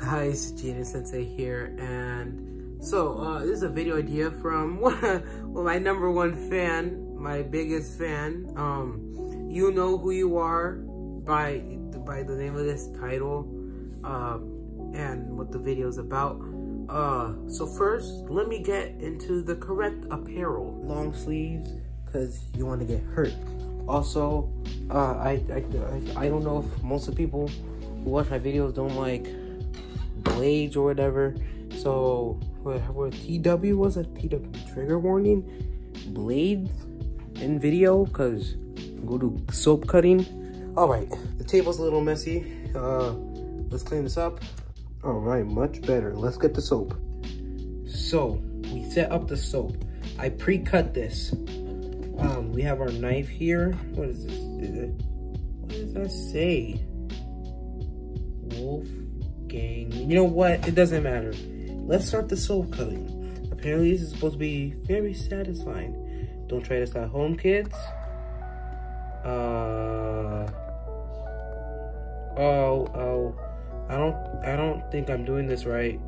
Hi, it's Gina Sensei here, and so uh, this is a video idea from well, my number one fan, my biggest fan. Um, you know who you are by by the name of this title, uh, and what the video is about. Uh, so first, let me get into the correct apparel, long sleeves, cause you want to get hurt. Also, uh, I, I, don't know if most of the people who watch my videos don't like blades or whatever. So, what TW was a TW trigger warning, blades in video, cause go to soap cutting. All right, the table's a little messy. Uh, let's clean this up. All right, much better. Let's get the soap. So we set up the soap. I pre-cut this. Um, we have our knife here. What is this? What does that say? Wolf gang. You know what? It doesn't matter. Let's start the soul cutting. Apparently this is supposed to be very satisfying. Don't try this at home, kids. Uh, oh, oh. I don't I don't think I'm doing this right.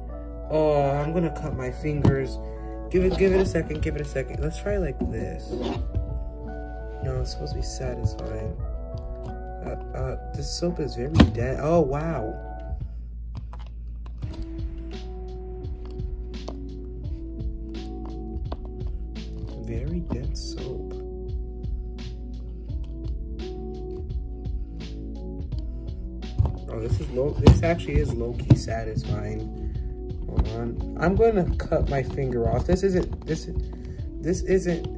Oh, I'm gonna cut my fingers. Give it give it a second, give it a second. Let's try like this. No, it's supposed to be satisfying. Uh, uh, this soap is very dense. Oh, wow. Very dense soap. Oh, this is low. This actually is low key satisfying. Hold on. I'm going to cut my finger off. This isn't. This. This isn't.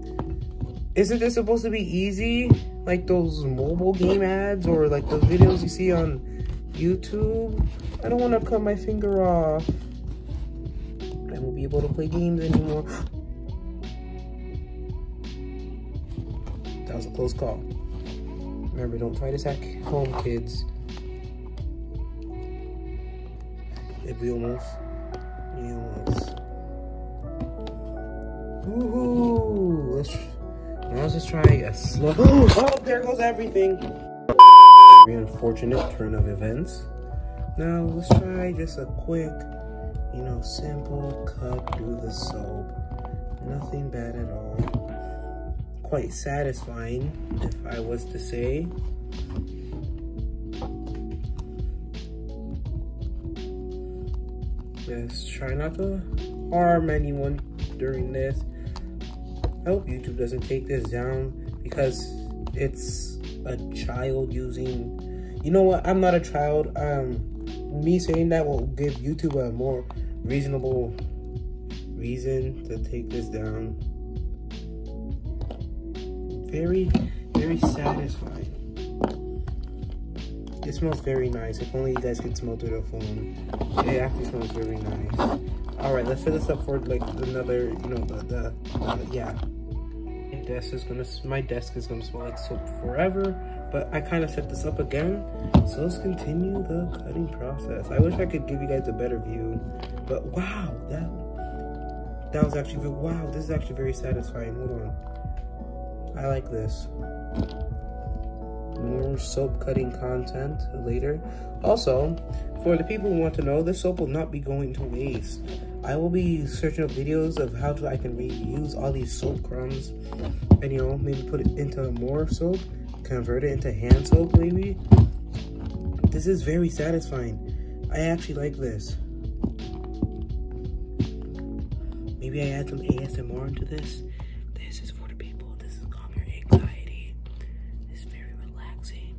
Isn't this supposed to be easy? Like those mobile game ads or like the videos you see on YouTube? I don't want to cut my finger off. I won't be able to play games anymore. That was a close call. Remember, don't try this at home, kids. If we almost, we almost. Woohoo! Let's. Now let's just try a slow. oh, there goes everything. Very unfortunate turn of events. Now let's try just a quick you know, simple, cut, do the soap. Nothing bad at all. Quite satisfying, if I was to say. Let's try not to harm anyone during this. I hope YouTube doesn't take this down because it's a child using you know what? I'm not a child. Um, me saying that will give YouTube a more reasonable reason to take this down. Very, very satisfying. It smells very nice. If only you guys could smell through the phone. It actually smells very nice. All right, let's set this up for like another, you know, the yeah, my desk is gonna my desk is gonna smell like soap forever. But I kind of set this up again, so let's continue the cutting process. I wish I could give you guys a better view, but wow, that that was actually wow. This is actually very satisfying. Hold on, I like this more soap cutting content later. Also, for the people who want to know, this soap will not be going to waste. I will be searching up videos of how to I can reuse all these soap crumbs and you know maybe put it into more soap, convert it into hand soap maybe. This is very satisfying. I actually like this. Maybe I add some ASMR into this. This is for the people. This is calm your anxiety. This is very relaxing.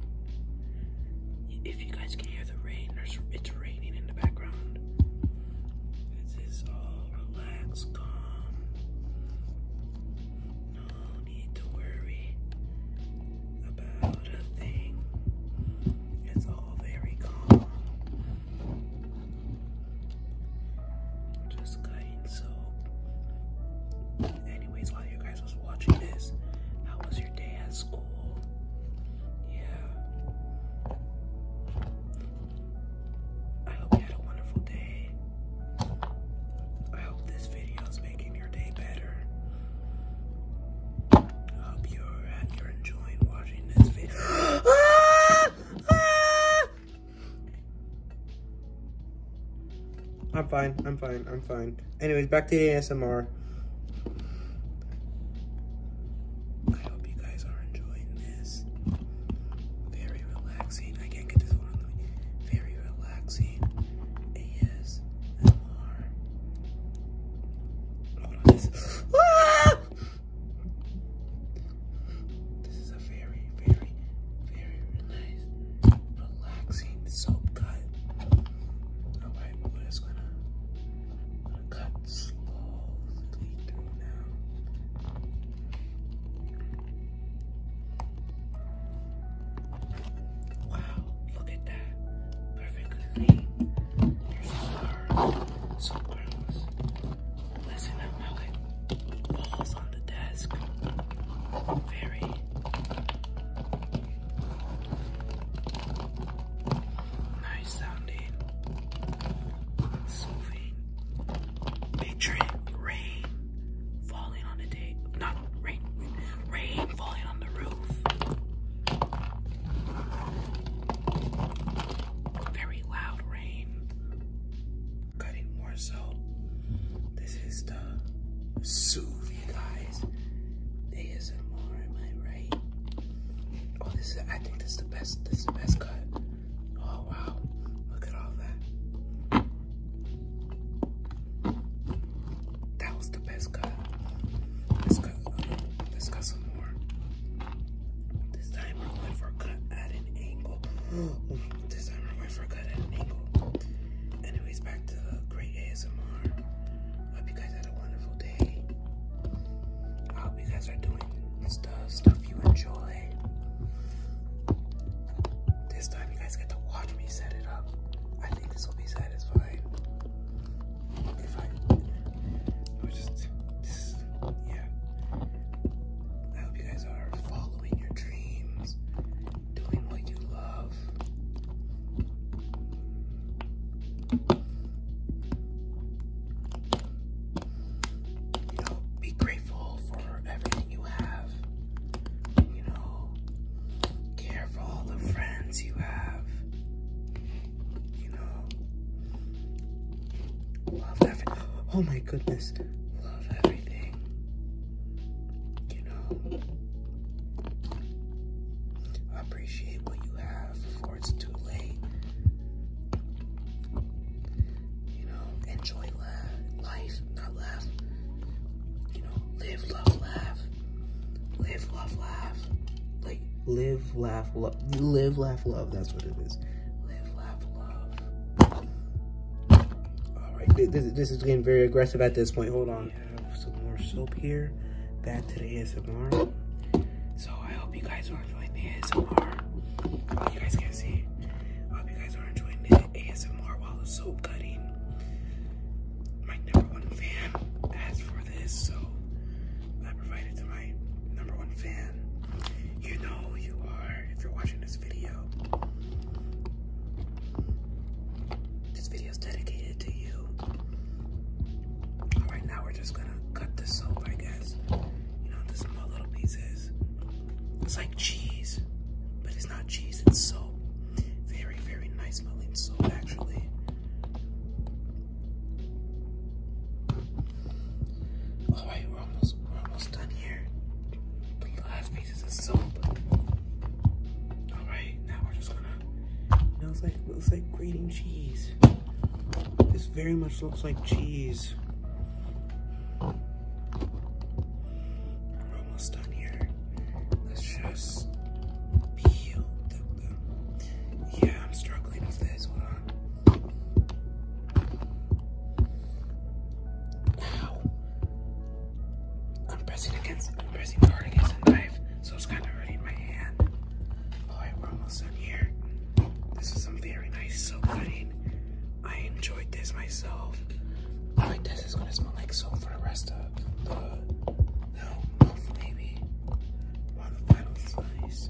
If you guys can hear the rain, it's raining in the background. This is all relaxed, calm. No need to worry about a thing. It's all very calm. Just cutting soap. Anyways, all you guys guys was watching this. I hope this video is making your day better. I hope you're enjoying watching this video. Ah! Ah! I'm fine. I'm fine. I'm fine. Anyways, back to the ASMR. I hope you guys are enjoying this. Very relaxing. I can't get this one Very relaxing ASMR. Ah! This, is a very, very, very relaxing relaxing soap cut. Alright, we're gonna, cut slowly now. Wow, look at that. Perfectly clean. Here's our soap curls. Listen, I'm how falls on the desk. Very Nice sounding, soothing. Picture rain falling on the day, not rain, rain falling on the roof. Very loud rain cutting more so. This is the Soothe, you guys. ASMR, am I right? Oh, this is, I think this is the best, this is the best cut. Oh, wow. Look at all that. That was the best cut. Let's cut, let's cut some more. This time we're going for cut at an angle. This time we're going for cut at an angle. Anyways, back to uh, great ASMR. Hope you guys had a wonderful day. I hope you guys are doing stuff, stuff you enjoy. This time you guys get to watch me set it up. I think this will be satisfying. If I, I just, yeah. I hope you guys are following following your dreams, doing what you love. You know, be grateful for everything you have. You know, care for all the friends you have. You know, love everything. Oh my goodness, love everything. You know, appreciate what you have before it's too late. You know, enjoy life, not laugh. You know, live, love, laugh. Live, love, laugh. Like, live, laugh, love. Live, laugh, love. That's what it is. Live, laugh, love. All right, this, is getting very aggressive at this point. Hold on. some more soap here. Back to the ASMR. So I hope you guys are enjoying the ASMR. you guys can see. hope you guys are enjoying the ASMR while the soap cutting. My number one fan asked for this, so I provided to my number one fan you know you are if you're watching this video. This video is dedicated to you. Right now, we're just gonna cut the soap, I guess. You know, the small little pieces. It's like cheese, but it's not cheese, it's soap. Very, very nice smelling soap, actually. All right, we're almost done here. The last pieces of soap. Alright, now we're just gonna you know, like it looks like grating cheese. This very much looks like cheese. We're almost done here. Let's just peel Yeah, I'm struggling with this. Hold Ow. I'm pressing against, I'm pressing hard against the knife, so it's kind of hurting my hand. Alright, we're almost done here. This is some very nice soap cutting. I enjoyed this myself. I like this. It's gonna smell like soap for the rest of no, maybe. Wow, final slice.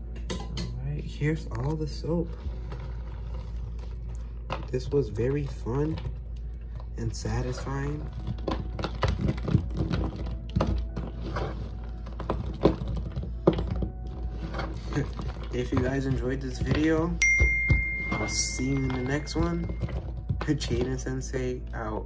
Alright, here's all the soap. This was very fun and satisfying. if you guys enjoyed this video, I'll see you in the next one. Jaden Sensei out.